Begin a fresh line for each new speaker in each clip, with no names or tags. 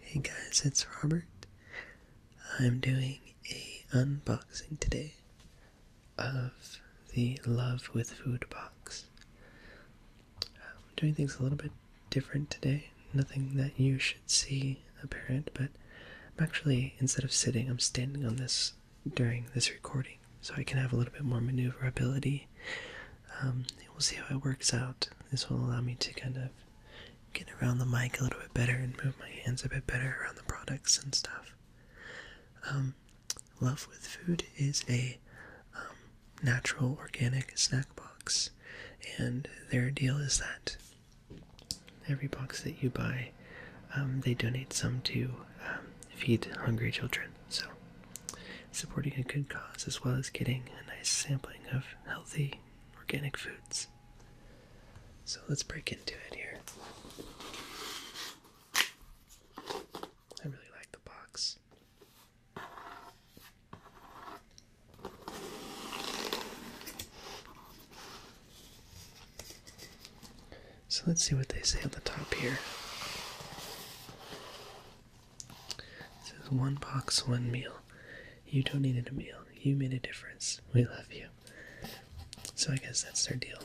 Hey guys, it's Robert. I'm doing a unboxing today of the Love with Food box. I'm doing things a little bit different today. Nothing that you should see apparent, but I'm actually, instead of sitting, I'm standing on this during this recording, so I can have a little bit more maneuverability. Um, we'll see how it works out. This will allow me to kind of get around the mic a little bit better and move my hands a bit better around the products and stuff. Um, love with Food is a um, natural organic snack box. And their deal is that every box that you buy, um, they donate some to um, feed hungry children. So, supporting a good cause as well as getting a nice sampling of healthy organic foods. So, let's break into it here. I really like the box. So let's see what they say on the top here. It says one box, one meal. You donated a meal. You made a difference. We love you. So I guess that's their deal.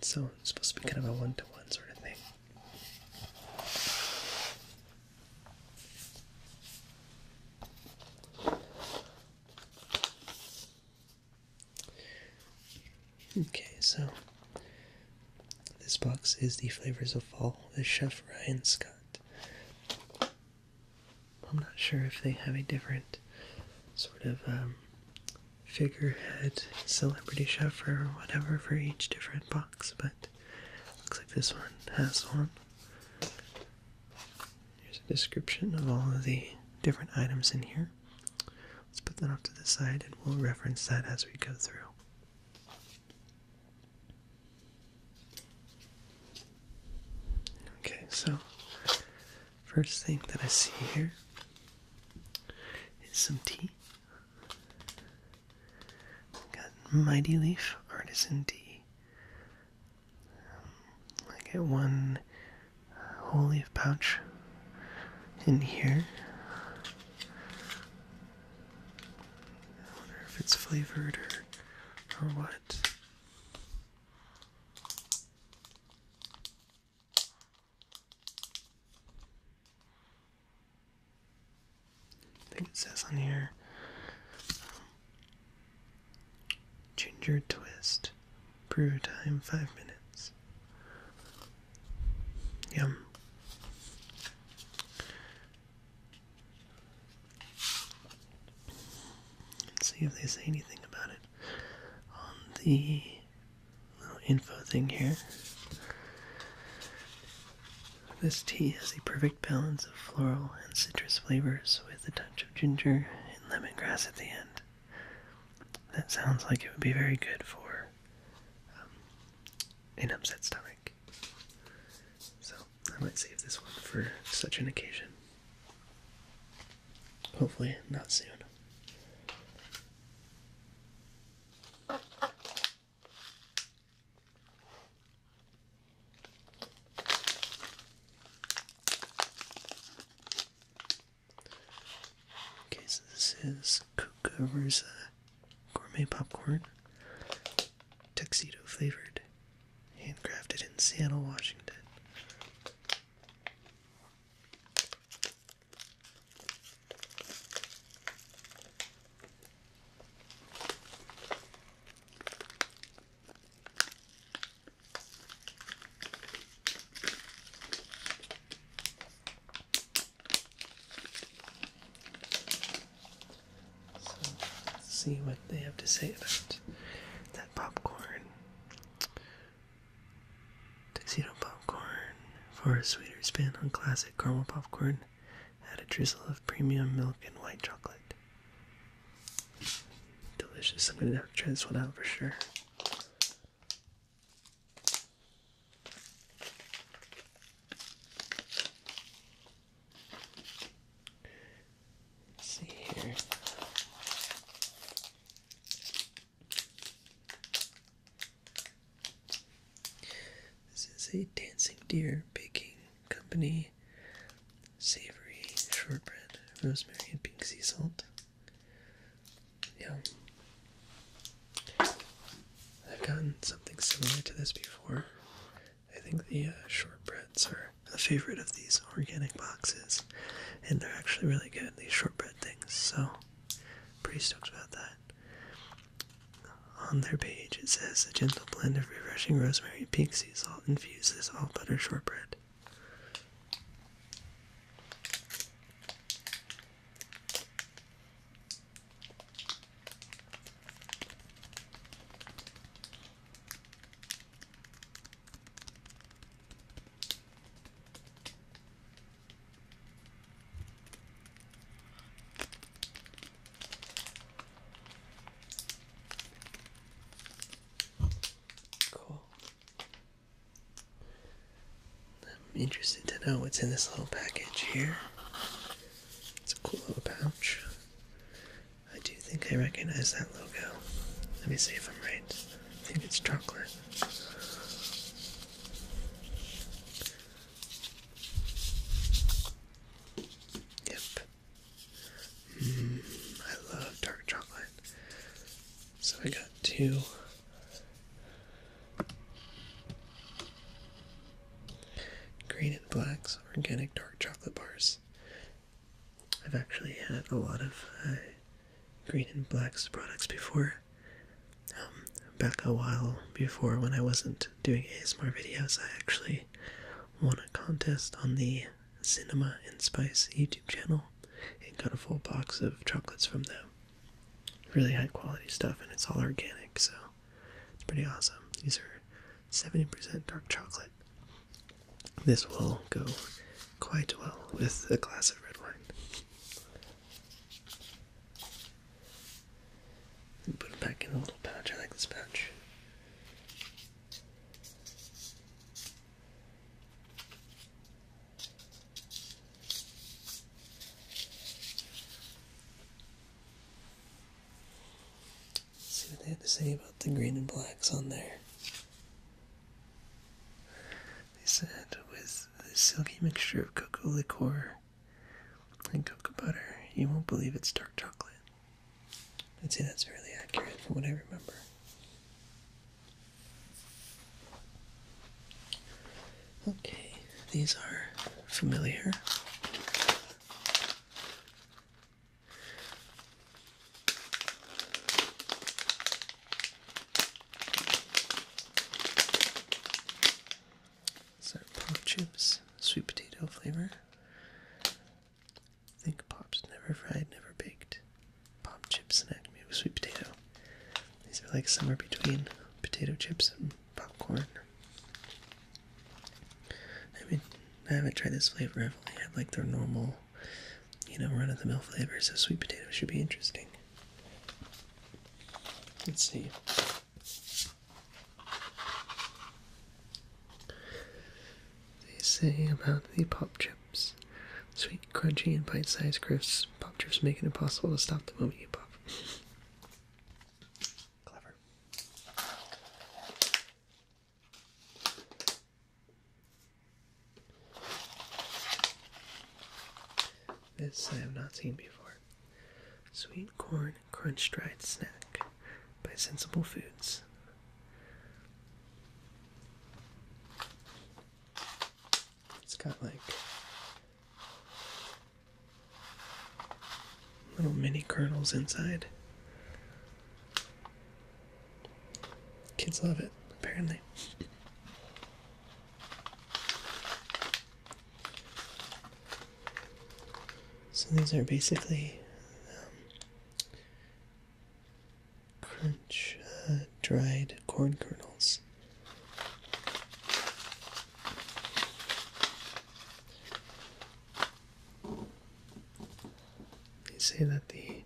So it's supposed to be kind of a one to one sort of thing. Okay, so this box is the flavors of fall The Chef Ryan Scott. I'm not sure if they have a different sort of um, figurehead celebrity chef or whatever for each different box, but Looks like this one has one. Here's a description of all of the different items in here. Let's put that off to the side and we'll reference that as we go through. Okay, so first thing that I see here is some tea. Got Mighty Leaf, Artisan D. Um, I get one uh, whole leaf pouch in here. I wonder if it's flavored or, or what. I think it says on here Ginger Twist. Brew time five minutes. Yum. Let's see if they say anything about it on the little info thing here. This tea has the perfect balance of floral and citrus flavors with a touch of ginger and lemongrass at the end. That sounds like it would be very good for um, an upset stomach. So I might save this one for such an occasion. Hopefully, not soon. Okay, so this is Kukuruza uh, gourmet popcorn, tuxedo flavored, handcrafted in Seattle, Washington. So let's see what they have to say about that popcorn. Tuxedo popcorn for a sweeter spin on classic caramel popcorn. Add a drizzle of premium milk and white chocolate. Delicious. I'm gonna try this one out for sure. see here. This is a dancing deer baking company savory shortbread, rosemary, and pink sea salt. Yeah. I've gotten something similar to this before. I think the uh, shortbreads are a favorite of these organic boxes, and they're actually really good, these shortbread things. So Pretty stoked about that. On their page, it says a gentle blend of refreshing rosemary, pink sea salt infuses all butter shortbread. Cool. I'm interested to know what's in this little package here. It's a cool little pouch. I do think I recognize that logo. Let me see if I'm right. I think it's chocolate. Yep. Mm, I love dark chocolate. So I got two. Green and Black's organic dark chocolate bars. I've actually had a lot of uh, green and blacks products before. Um, back a while before when I wasn't doing ASMR videos, I actually won a contest on the Cinema and Spice YouTube channel and got a full box of chocolates from them. Really high quality stuff, and it's all organic, so it's pretty awesome. These are 70% dark chocolate. This will go quite well with a glass of red wine. put it back in a little pouch. I like this pouch. see what they had to say about the green and blacks on there. They said with the silky mixture of cocoa liqueur and cocoa butter, you won't believe it's dark chocolate. I'd say that's fairly accurate from what I remember. Okay, these are familiar. So pop chips, sweet potato flavor. think pops never fried, never baked. Pop chips and acme a sweet potato. These are like somewhere between potato chips and popcorn. I mean, I haven't tried this flavor. I've only had like their normal you know, run-of-the-mill flavors of sweet potato should be interesting. Let's see. They say about the pop chips. Sweet, crunchy, and bite-sized crisps. Pop chips make it impossible to stop the movie. pop. Clever. This I have not seen before. Sweet corn crunch dried snack by Sensible Foods. It's got like little mini kernels inside. Kids love it, apparently. So these are basically um, crunch uh, dried corn kernels. They say that the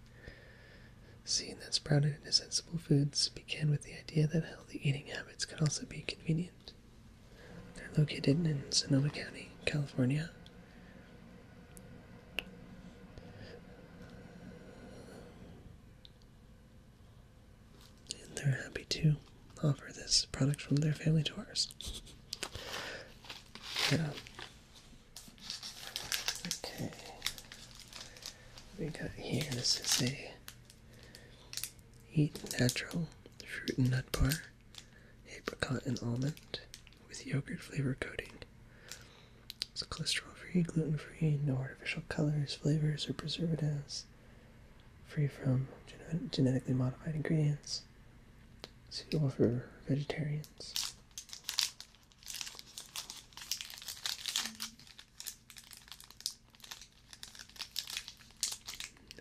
seed that sprouted into sensible foods began with the idea that healthy eating habits could also be convenient. They're located in Sonoma County, California. And they're happy to offer this product from their family to ours. Yeah. Okay. We got here. This is a eat natural fruit and nut bar, apricot and almond, with yogurt flavor coating. It's cholesterol free, gluten free, no artificial colors, flavors, or preservatives, free from genetically modified ingredients. So suitable for vegetarians.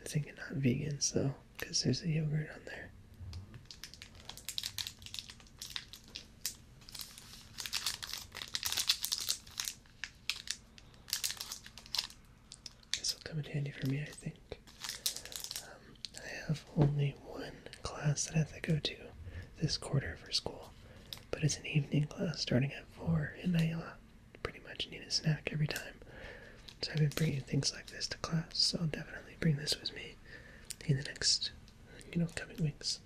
I think it's not vegans though, because there's a yogurt on there. This will come in handy for me, I think. Um, I have only one class that I have to go to this quarter for school, but it's an evening class starting at 4, and I uh, pretty much need a snack every time. So I've been bringing things like this to class, so I'll definitely bring this with me in the next, you know, coming weeks.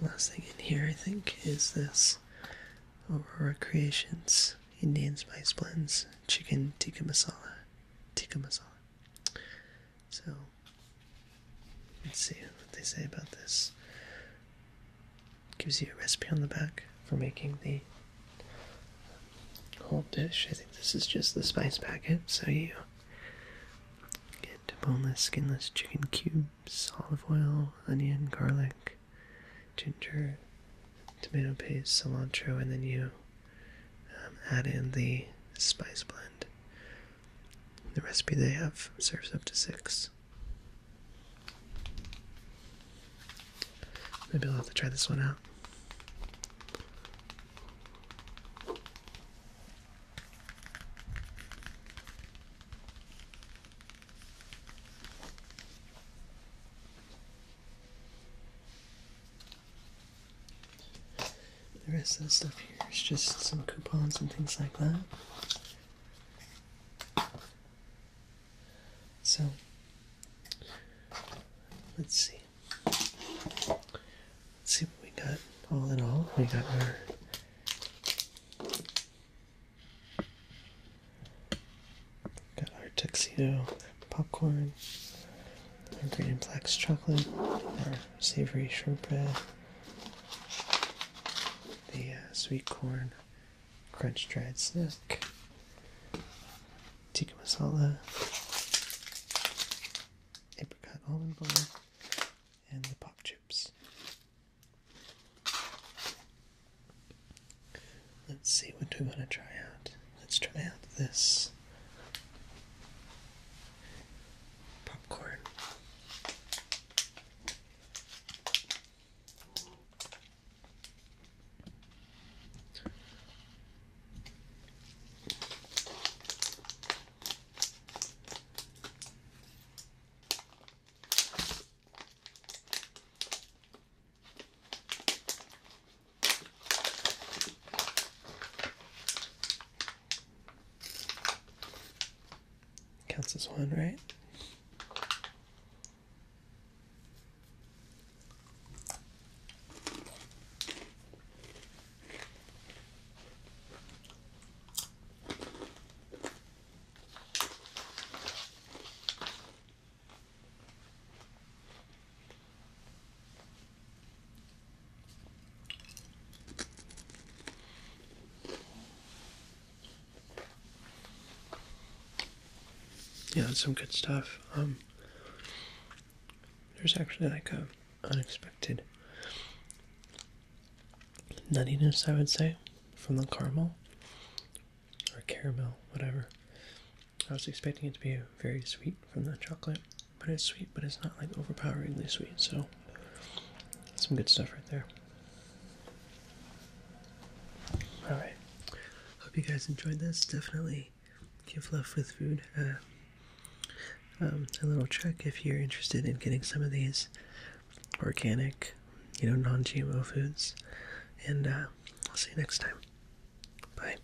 The last thing in here, I think, is this Aurora Creations Indian Spice Blends Chicken Tikka Masala. Tikka Masala. So let's see what they say about this. gives you a recipe on the back for making the whole dish. I think this is just the spice packet, so you get boneless, skinless chicken cubes, olive oil, onion, garlic, ginger, tomato paste, cilantro, and then you um, add in the spice blend the recipe they have serves up to six. Maybe I'll have to try this one out. The rest of the stuff here is just some coupons and things like that. So, let's see. Let's see what we got all in all. We got our got our tuxedo popcorn, our green and flax chocolate, our savory shortbread, the uh, sweet corn crunch dried snack, tikka masala, apricot almond butter, and the pop chips. Let's see what we want to try out. Let's try out this popcorn. Counts as one, right? Yeah, some good stuff. Um, there's actually like a unexpected nuttiness, I would say, from the caramel or caramel, whatever. I was expecting it to be very sweet from the chocolate, but it's sweet, but it's not like overpoweringly sweet. So, some good stuff right there. All right, hope you guys enjoyed this. Definitely give love with food uh, um, a little check if you're interested in getting some of these organic, you know, non-GMO foods. And uh, I'll see you next time. Bye.